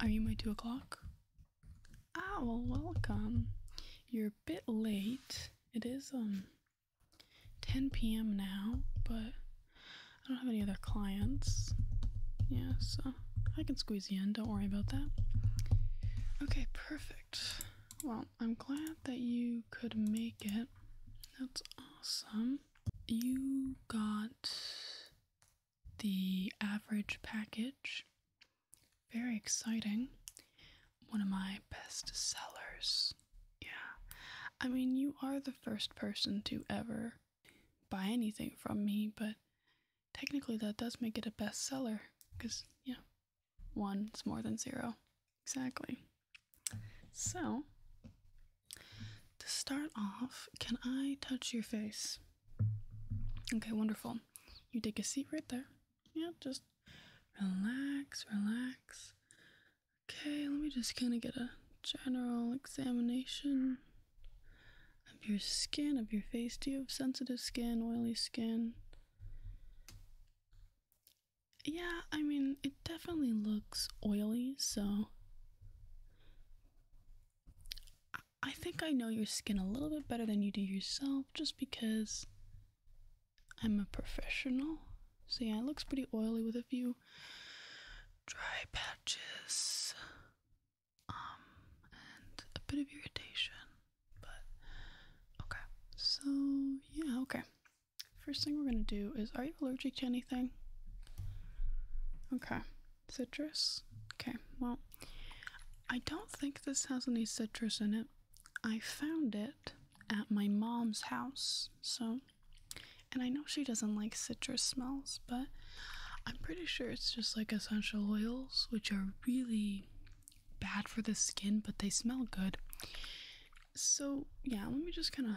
Are you my two o'clock? Oh, welcome. You're a bit late. It is, um, 10 p.m. now, but I don't have any other clients. Yeah, so I can squeeze you in. Don't worry about that. Okay, perfect. Well, I'm glad that you could make it. That's awesome. You got the average package. Very exciting. One of my best sellers. Yeah. I mean, you are the first person to ever buy anything from me, but technically that does make it a bestseller because, yeah. One is more than zero. Exactly. So, to start off, can I touch your face? Okay, wonderful. You take a seat right there. Yeah, just relax, relax. Okay, let me just kind of get a general examination of your skin, of your face. Do you have sensitive skin, oily skin? Yeah, I mean, it definitely looks oily, so I think I know your skin a little bit better than you do yourself just because I'm a professional. So, yeah, it looks pretty oily with a few dry patches um, and a bit of irritation. But okay. So yeah, okay. First thing we're gonna do is are you allergic to anything? Okay. Citrus? Okay, well I don't think this has any citrus in it. I found it at my mom's house, so and I know she doesn't like citrus smells, but I'm pretty sure it's just like essential oils, which are really bad for the skin, but they smell good. So, yeah, let me just kind of.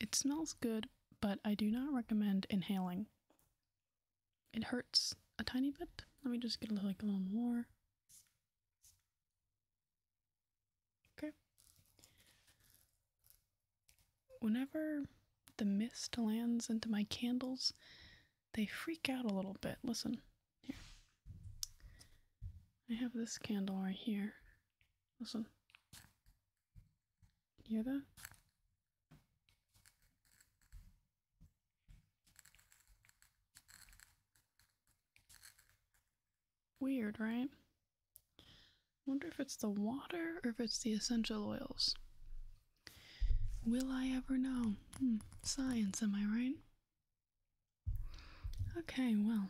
It smells good, but I do not recommend inhaling. It hurts a tiny bit. Let me just get a little, like a little more. Okay. Whenever the mist lands into my candles, they freak out a little bit. Listen, here. I have this candle right here. Listen. Hear that? Weird, right? I wonder if it's the water or if it's the essential oils. Will I ever know? Hmm, science, am I right? Okay, well,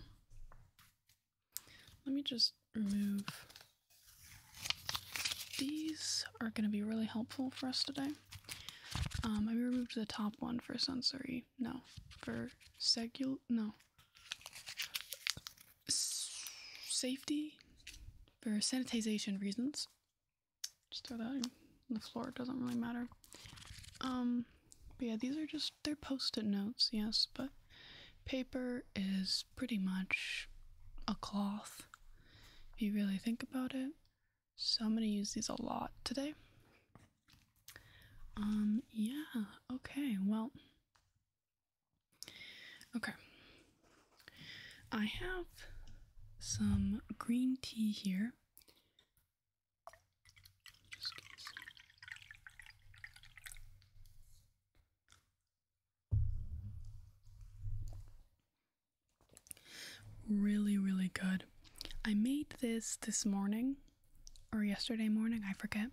let me just remove. These are going to be really helpful for us today. Um, I removed the top one for sensory. No, for segul. No, safety for sanitization reasons. Just throw that in the floor, doesn't really matter. Um, but yeah, these are just, they're post-it notes, yes, but paper is pretty much a cloth, if you really think about it. So I'm gonna use these a lot today. Um, yeah, okay, well, Okay. I have some green tea here. really, really good. I made this this morning or yesterday morning, I forget.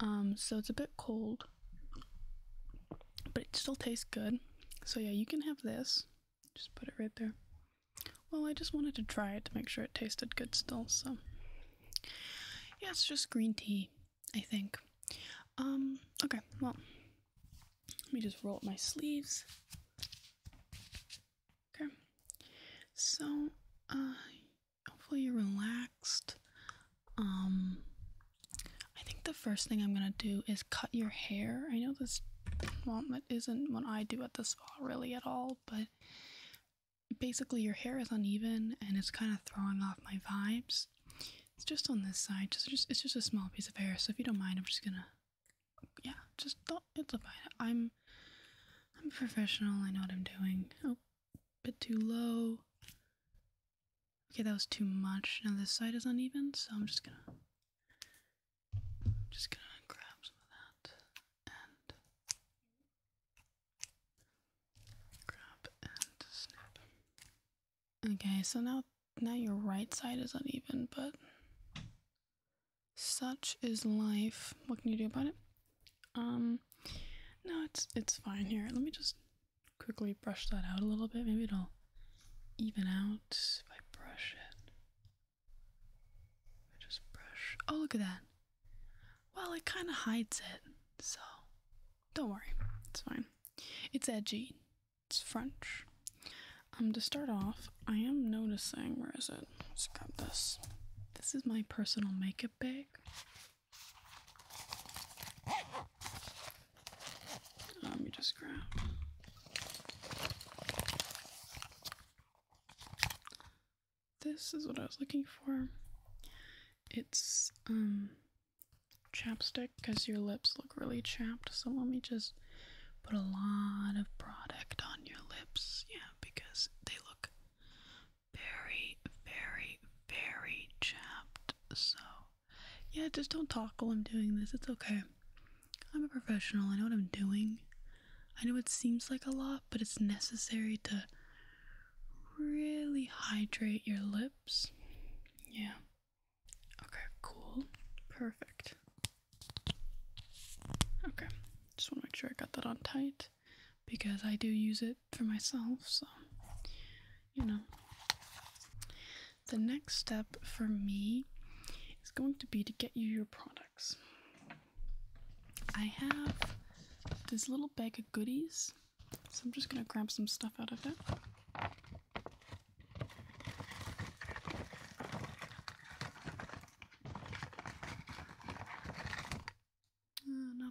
Um, so it's a bit cold, but it still tastes good. So yeah, you can have this. Just put it right there. Well, I just wanted to try it to make sure it tasted good still, so yeah, it's just green tea, I think. Um, okay, well, let me just roll up my sleeves. Okay, so, I. Uh, hopefully you're relaxed. Um, I think the first thing I'm gonna do is cut your hair. I know this, well, that isn't what I do at the spa really at all, but basically your hair is uneven and it's kind of throwing off my vibes. It's just on this side, just, just it's just a small piece of hair. So if you don't mind, I'm just gonna, yeah, just don't. It's fine. I'm, I'm professional. I know what I'm doing. Oh, bit too low. Okay, that was too much. Now this side is uneven, so I'm just gonna just gonna grab some of that and grab and snip. Okay, so now now your right side is uneven, but such is life. What can you do about it? Um no, it's it's fine here. Let me just quickly brush that out a little bit. Maybe it'll even out if I brush it. I just brush. Oh, look at that. Well, it kind of hides it, so don't worry. It's fine. It's edgy. It's French. Um, to start off, I am noticing, where is it? Let's grab this. This is my personal makeup bag. Let me just grab. This is what I was looking for. It's um chapstick because your lips look really chapped. So let me just put a lot of product on your lips. Yeah, because they look very, very, very chapped. So yeah, just don't talk while I'm doing this. It's okay. I'm a professional. I know what I'm doing. I know it seems like a lot, but it's necessary to really hydrate your lips. Yeah. Okay, cool. Perfect. Okay. Just want to make sure I got that on tight because I do use it for myself, so you know. The next step for me is going to be to get you your products. I have this little bag of goodies, so I'm just gonna grab some stuff out of it. Uh,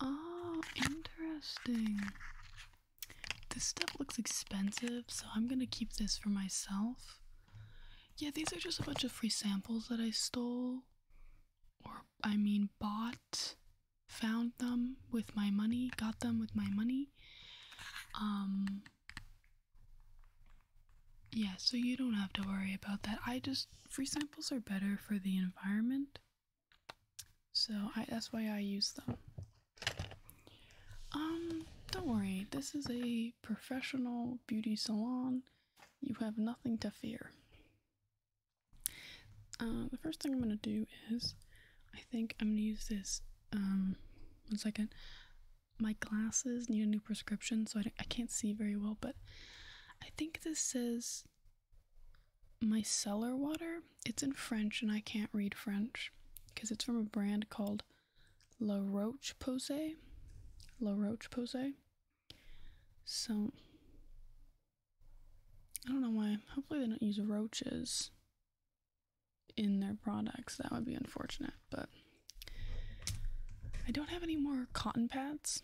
Oh, interesting. This stuff looks expensive, so I'm gonna keep this for myself. Yeah, these are just a bunch of free samples that I stole, or I mean, bought, found them with my money, got them with my money. Um, yeah, so you don't have to worry about that. I just free samples are better for the environment, so I, that's why I use them. Um, don't worry, this is a professional beauty salon. You have nothing to fear. Uh, the first thing I'm gonna do is, I think I'm gonna use this. Um, one second. My glasses need a new prescription, so I, I can't see very well, but I think this says my cellar water. It's in French and I can't read French because it's from a brand called La Roche Posay. La Roche Posay. So I don't know why. Hopefully they don't use roaches in their products. That would be unfortunate, but I don't have any more cotton pads.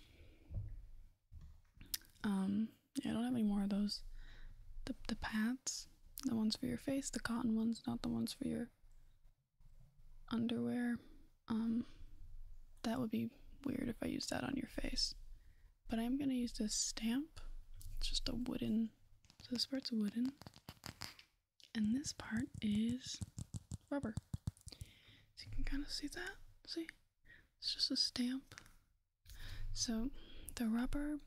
Um, yeah, I don't have any more of those. The the pads, the ones for your face, the cotton ones, not the ones for your underwear. Um, that would be weird if I used that on your face. But I'm gonna use this stamp. It's just a wooden. So this part's wooden, and this part is rubber. you can kind of see that. See. It's just a stamp. So the rubber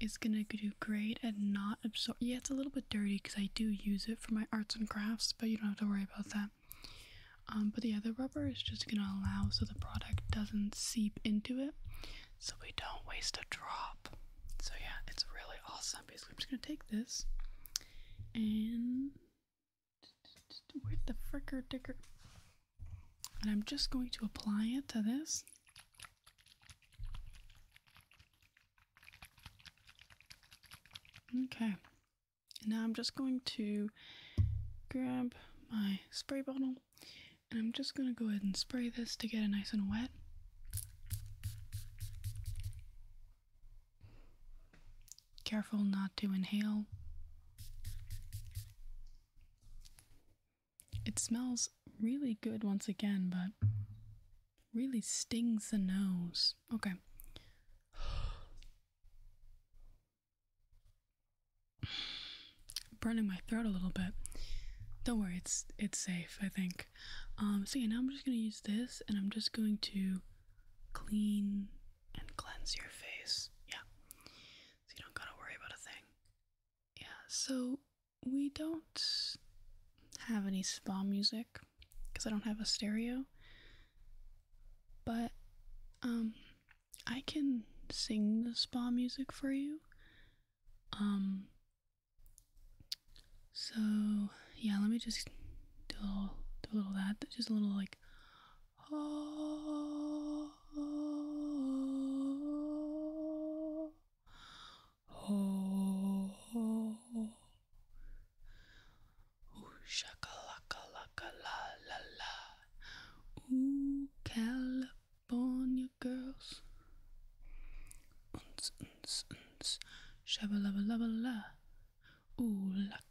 is gonna do great and not absorb. Yeah, it's a little bit dirty because I do use it for my arts and crafts, but you don't have to worry about that. Um, but yeah, the rubber is just gonna allow so the product doesn't seep into it, so we don't waste a drop. So yeah, it's really awesome. Basically, I'm just gonna take this and where the fricker dicker? And I'm just going to apply it to this. Okay. Now I'm just going to grab my spray bottle and I'm just going to go ahead and spray this to get it nice and wet. Careful not to inhale. It smells really good once again, but really stings the nose. Okay. Burning my throat a little bit. Don't worry, it's it's safe, I think. Um so yeah, now I'm just gonna use this and I'm just going to clean and cleanse your face. Yeah. So you don't gotta worry about a thing. Yeah, so we don't have any spa music because I don't have a stereo. But um I can sing the spa music for you. Um so yeah, let me just do a do a little that just a little like Oh, oh, oh, oh. Ooh, shakalaka laka la la la. Ooh, California girls. Uns, uns, uns. Shabalaba la la. Ooh, la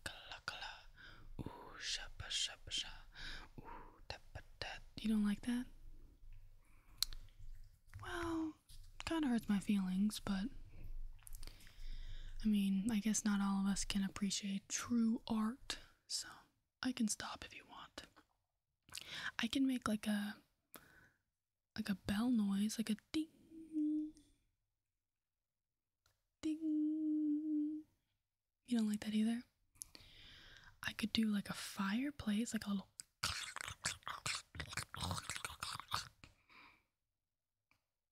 Ooh, shabba shabba sha. Ooh, tappa tat. You don't like that? Well, kind of hurts my feelings, but I mean, I guess not all of us can appreciate true art, so I can stop if you want. I can make like a like a bell noise, like a ding. Ding. You don't like that either? I could do like a fireplace, like a little.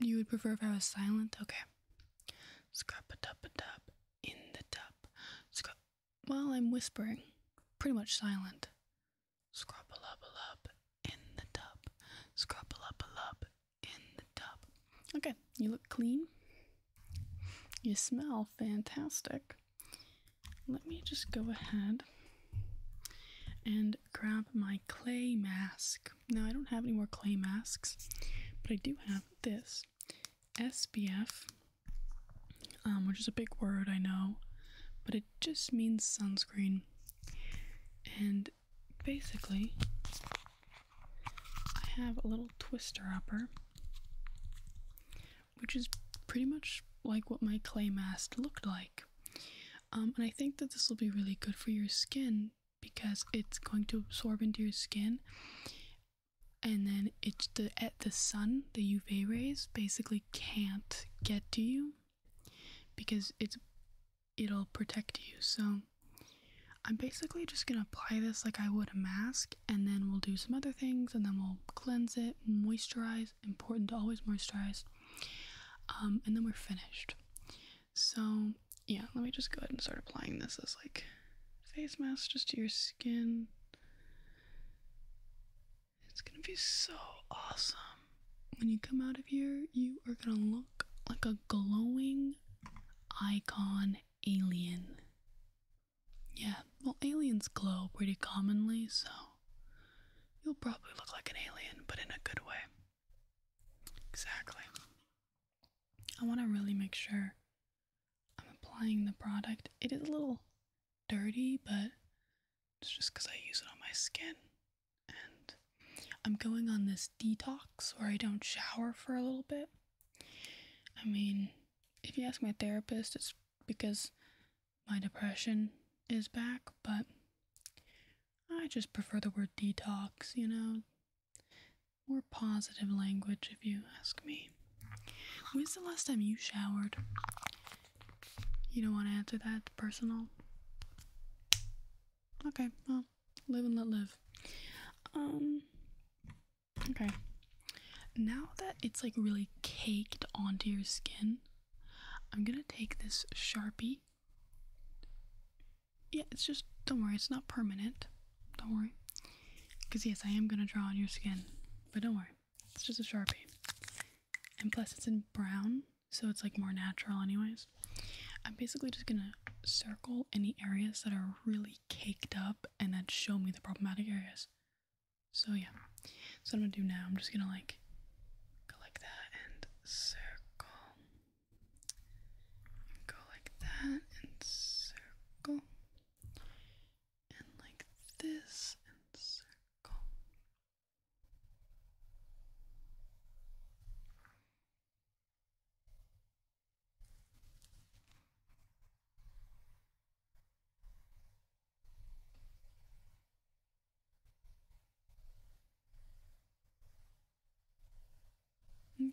You would prefer if I was silent? Okay. Scrap a tub a tub in the tub. Scrap. Well, I'm whispering. Pretty much silent. Scrub a lub a lub in the tub. Scrub a lub a lub in the tub. Okay, you look clean. You smell fantastic. Let me just go ahead and grab my clay mask. Now, I don't have any more clay masks, but I do have this SPF, um, which is a big word, I know, but it just means sunscreen. And basically, I have a little twister upper, which is pretty much like what my clay mask looked like. Um, and I think that this will be really good for your skin because it's going to absorb into your skin and then it's the at the sun the uv rays basically can't get to you because it's it'll protect you so I'm basically just gonna apply this like I would a mask, and then we'll do some other things, and then we'll cleanse it, moisturize. Important to always moisturize, um, and then we're finished. So yeah, let me just go ahead and start applying this as like face mask just to your skin. It's gonna be so awesome. When you come out of here, you are gonna look like a glowing icon alien. Yeah, well, aliens glow pretty commonly, so you'll probably look like an alien, but in a good way. Exactly. I want to really make sure I'm applying the product. It is a little dirty, but it's just because I use it on my skin. And I'm going on this detox where I don't shower for a little bit. I mean, if you ask my therapist, it's because my depression is back, but I just prefer the word detox, you know? More positive language, if you ask me. When's the last time you showered? You don't want to answer that? personal? Okay, well, live and let live. Um, Okay. Now that it's like really caked onto your skin, I'm gonna take this Sharpie. Yeah, it's just, don't worry, it's not permanent. Don't worry. Because, yes, I am gonna draw on your skin, but don't worry, it's just a Sharpie. And plus, it's in brown, so it's like more natural, anyways. I'm basically just gonna circle any areas that are really caked up and that show me the problematic areas. So yeah. So I'm gonna do now, I'm just gonna like go like that and circle. Go like that and circle. And like this and circle.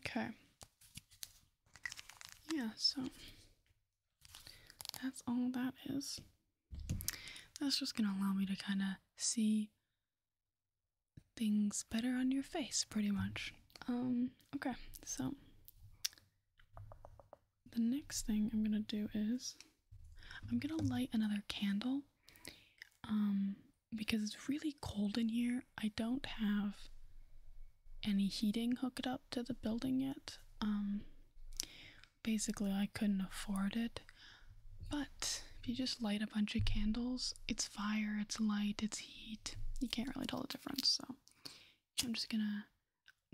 Okay. Yeah, so that's all that is. That's just gonna allow me to kind of see things better on your face, pretty much. Um, Okay, so the next thing I'm gonna do is I'm gonna light another candle. Um, because it's really cold in here. I don't have any heating hooked up to the building yet. Um, basically, I couldn't afford it. But if you just light a bunch of candles, it's fire, it's light, it's heat. You can't really tell the difference, so. I'm just gonna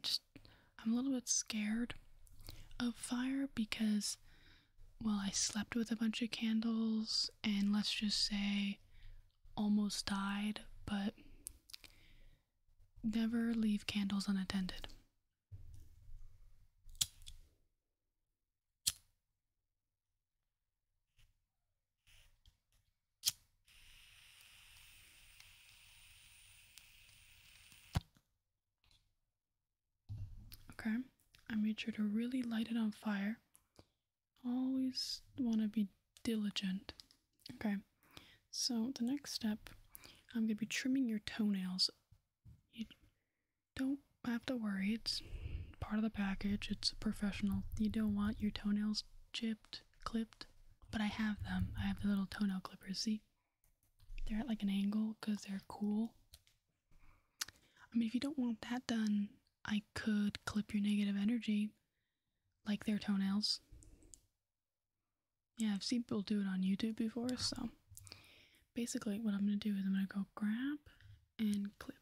just I'm a little bit scared of fire because well I slept with a bunch of candles and let's just say almost died, but never leave candles unattended. Okay, I made sure to really light it on fire. Always want to be diligent. Okay, so the next step, I'm going to be trimming your toenails. You don't have to worry, it's part of the package, it's professional. You don't want your toenails chipped, clipped, but I have them. I have the little toenail clippers, see? They're at like an angle because they're cool. I mean, if you don't want that done, I could clip your negative energy like their toenails. Yeah, I've seen people do it on YouTube before, so basically what I'm gonna do is I'm gonna go grab and clip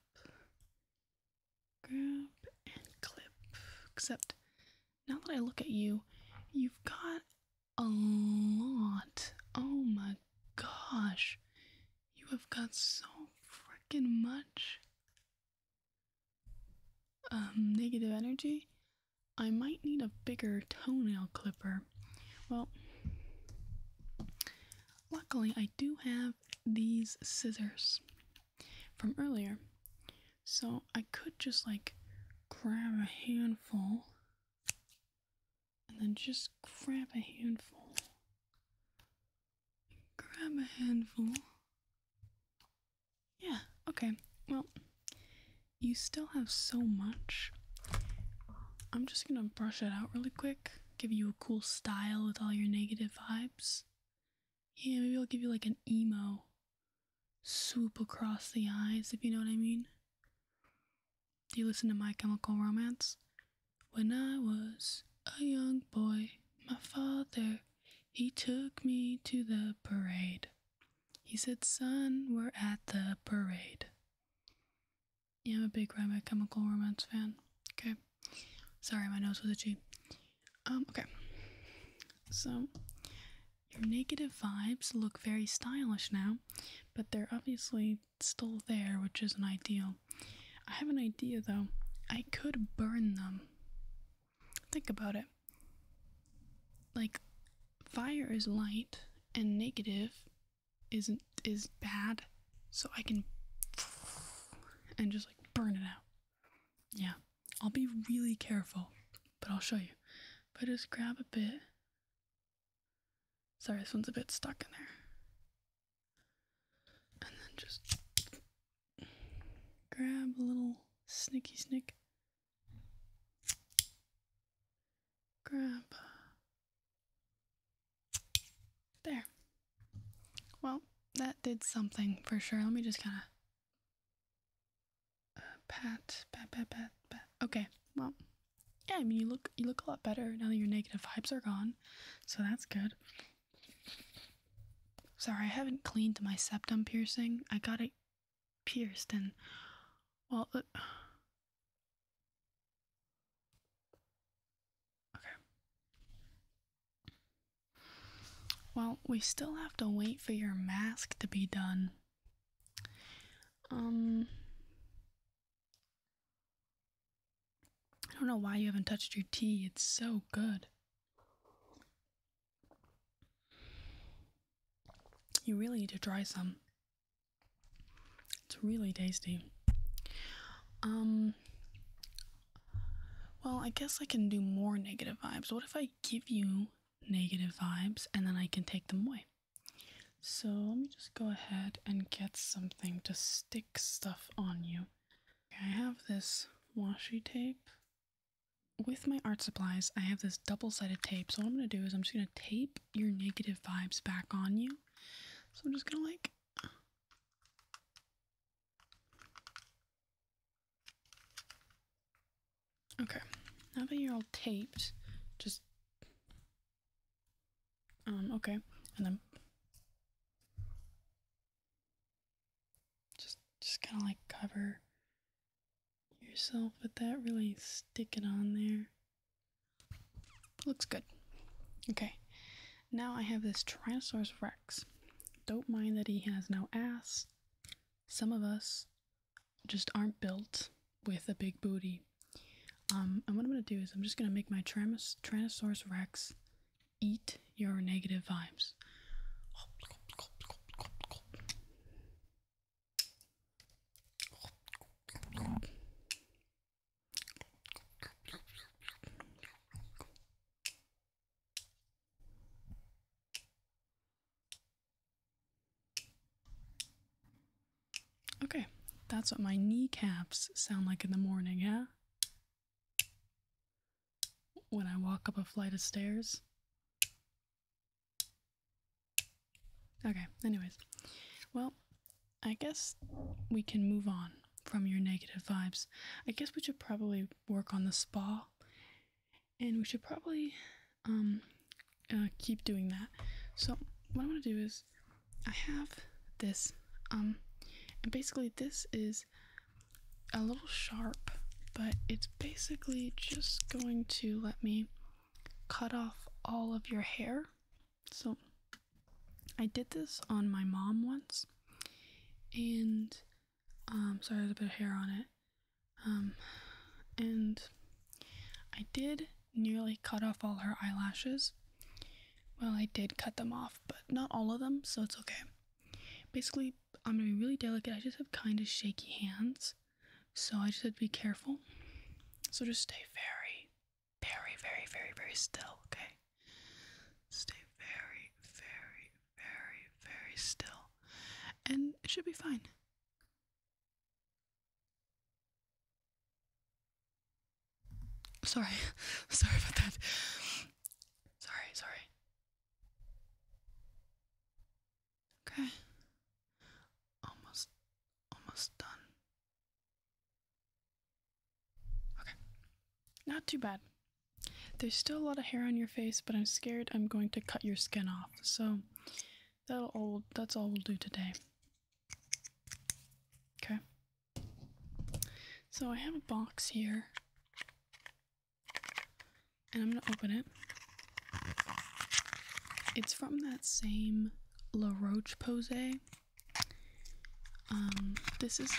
grab and clip. Except now that I look at you, you've got a lot. Oh my gosh. You have got so freaking much. Um, negative energy? I might need a bigger toenail clipper. Well, luckily I do have these scissors from earlier. So I could just like grab a handful and then just grab a handful. Grab a handful. Yeah, okay. Well, you still have so much. I'm just gonna brush it out really quick, give you a cool style with all your negative vibes. Yeah, maybe I'll give you like an emo swoop across the eyes, if you know what I mean. Do you listen to My Chemical Romance? When I was a young boy, my father, he took me to the parade. He said, Son, we're at the parade. Yeah, I'm a big My Chemical Romance fan. Okay. Sorry, my nose was itchy. Um, okay. So, your negative vibes look very stylish now, but they're obviously still there, which isn't ideal. I have an idea though. I could burn them. Think about it. Like, fire is light, and negative isn't is bad, so I can and just like burn it out. Yeah. I'll be really careful, but I'll show you. But just grab a bit. Sorry, this one's a bit stuck in there. And then just grab a little snicky snick. Grab. There. Well, that did something for sure. Let me just kind of pat, pat, pat, pat, pat. Okay, well, yeah. I mean, you look you look a lot better now that your negative vibes are gone, so that's good. Sorry, I haven't cleaned my septum piercing. I got it pierced, and well. Uh, well, we still have to wait for your mask to be done. Um. I don't know why you haven't touched your tea. It's so good. You really need to try some. It's really tasty. Um well, I guess I can do more negative vibes. What if I give you negative vibes and then I can take them away. So let me just go ahead and get something to stick stuff on you. I have this washi tape. With my art supplies, I have this double sided tape. So, what I'm going to do is I'm just going to tape your negative vibes back on you. So, I'm just going to like Okay, now that you're all taped, just um okay, and then just just kind of like cover yourself with that, really stick it on there. Looks good. Okay, now I have this Tyrannosaurus Rex. Don't mind that he has no ass some of us just aren't built with a big booty. Um, and what I'm gonna do is I'm just gonna make my Trannosaurus Rex eat your negative vibes. Okay, that's what my kneecaps sound like in the morning, yeah. When I walk up a flight of stairs. Okay, anyways. Well, I guess we can move on from your negative vibes. I guess we should probably work on the spa and we should probably um, uh, keep doing that. So what I want to do is I have this, um, and basically this is a little sharp, but it's basically just going to let me cut off all of your hair. So I did this on my mom once, and um, so there's a bit of hair on it. Um, and I did nearly cut off all her eyelashes. Well, I did cut them off, but not all of them, so it's okay. Basically, I'm gonna be really delicate. I just have kind of shaky hands, so I just have to be careful. So just stay very, very, very, very, very still, okay? Stay very, very, very, very, still, and it should be fine. Sorry, sorry about that. Sorry, sorry. Okay. Almost, almost done. Okay. Not too bad. There's still a lot of hair on your face, but I'm scared I'm going to cut your skin off. So that'll all that's all we'll do today. Okay. So I have a box here. And I'm gonna open it. It's from that same La Roche Posay. Um, this is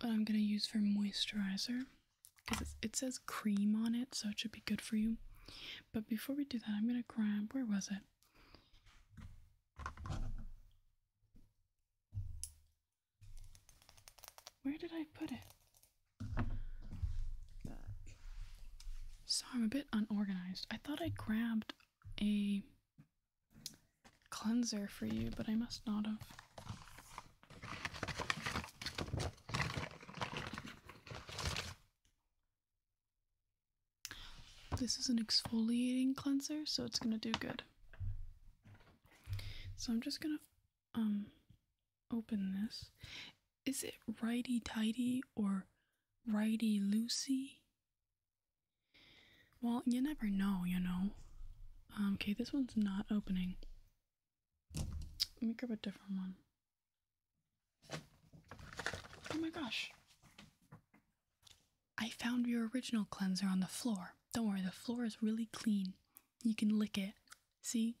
what I'm gonna use for moisturizer because it says cream on it, so it should be good for you. But before we do that, I'm gonna grab where was it? Where did I put it? Back. So I'm a bit unorganized. I thought I grabbed a cleanser for you, but I must not have. This is an exfoliating cleanser, so it's gonna do good. So I'm just gonna um open this. Is it righty tighty or righty loosey? Well, you never know, you know. Um, okay, this one's not opening. Let me grab a different one. Oh my gosh. I found your original cleanser on the floor. Don't worry, the floor is really clean. You can lick it. See?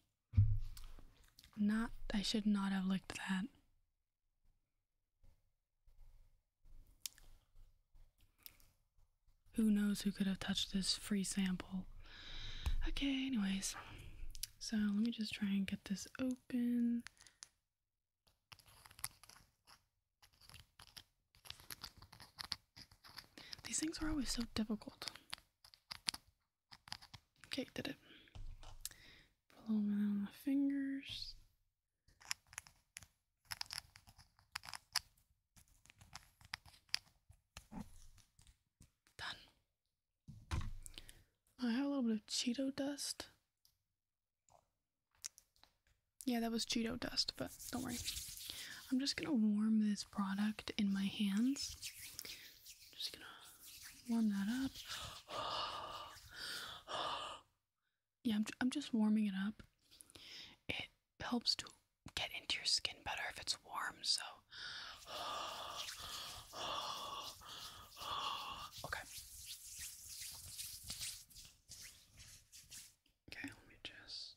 Not, I should not have licked that. Who knows who could have touched this free sample? Okay, anyways. So let me just try and get this open. These things are always so difficult. Okay, did it. Put on my fingers. Done. I have a little bit of Cheeto dust. Yeah, that was Cheeto dust, but don't worry. I'm just gonna warm this product in my hands. just gonna warm that up. yeah, I'm, I'm just warming it up. It helps to get into your skin better if it's warm, so Okay. Okay, let me just.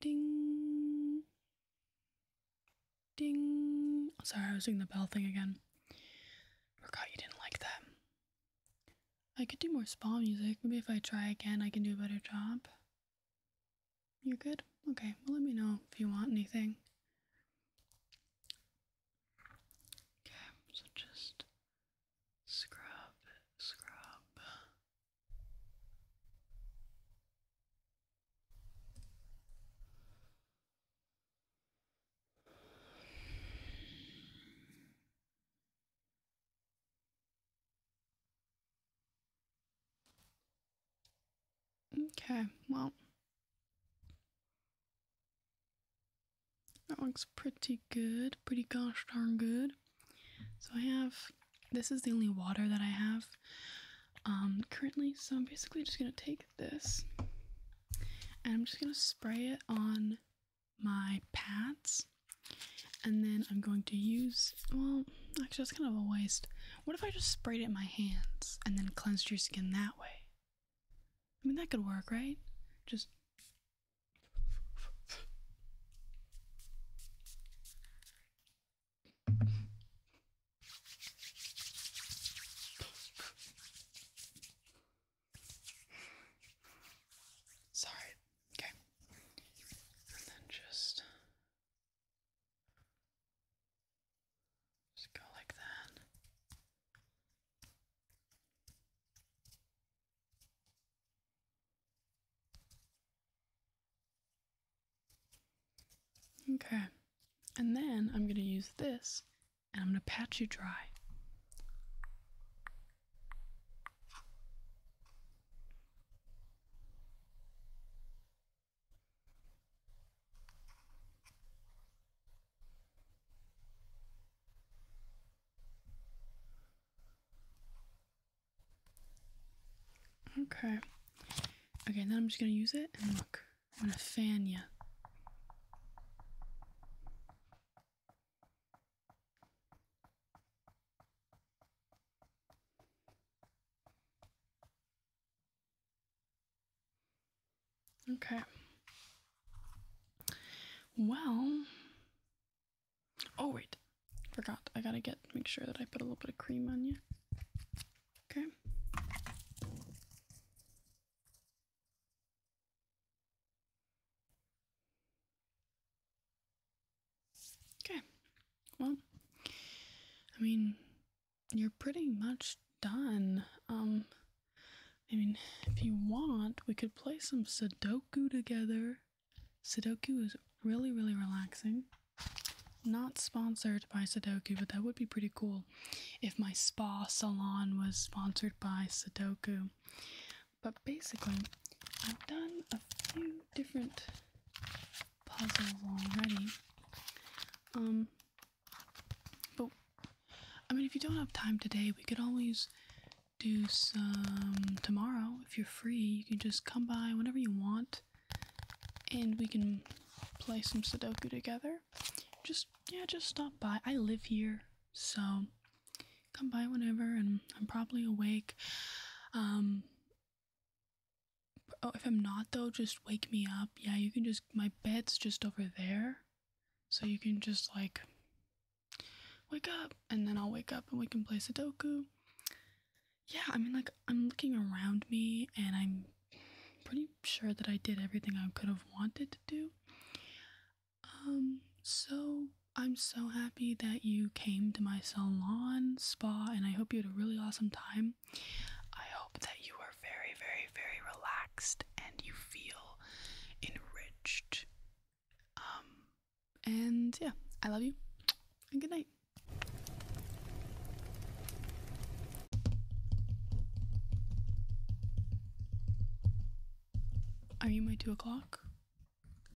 Ding. Ding. sorry, I was doing the bell thing again. Forgot you didn't like that. I could do more spa music. Maybe if I try again, I can do a better job. You're good? Okay, well, let me know if you want anything. Okay, so just scrub, scrub. Okay, well, that looks pretty good, pretty gosh darn good. So I have, this is the only water that I have um, currently, so I'm basically just going to take this and I'm just going to spray it on my pads and then I'm going to use, well, actually that's kind of a waste. What if I just sprayed it in my hands and then cleansed your skin that way? I mean, that could work, right? Just... Sorry, Okay. And then just just go like that. Okay. And then I'm going to use this and I'm going to pat you dry. Okay. Okay, Now I'm just gonna use it and look, I'm gonna fan you. Okay. Well, oh wait, forgot. I gotta get make sure that I put a little bit of cream on you. Okay. Okay. Well, I mean, you're pretty much done. Um, I mean, if you want, we could play some Sudoku together. Sudoku is really, really relaxing. Not sponsored by Sudoku, but that would be pretty cool if my spa salon was sponsored by Sudoku. But basically, I've done a few different puzzles already. Um, but I mean, if you don't have time today, we could always do some tomorrow. If you're free, you can just come by whenever you want and we can play some Sudoku together. Just, yeah, just stop by. I live here, so come by whenever and I'm probably awake. Um Oh, if I'm not though, just wake me up. Yeah, you can just my bed's just over there. So you can just like wake up and then I'll wake up and we can play Sudoku. Yeah, I mean like I'm looking around me and I'm pretty sure that I did everything I could have wanted to do. Um so I'm so happy that you came to my salon spa and I hope you had a really awesome time. I hope that you are very, very, very relaxed and you feel enriched. Um, and yeah, I love you and good night. Are you my two o'clock?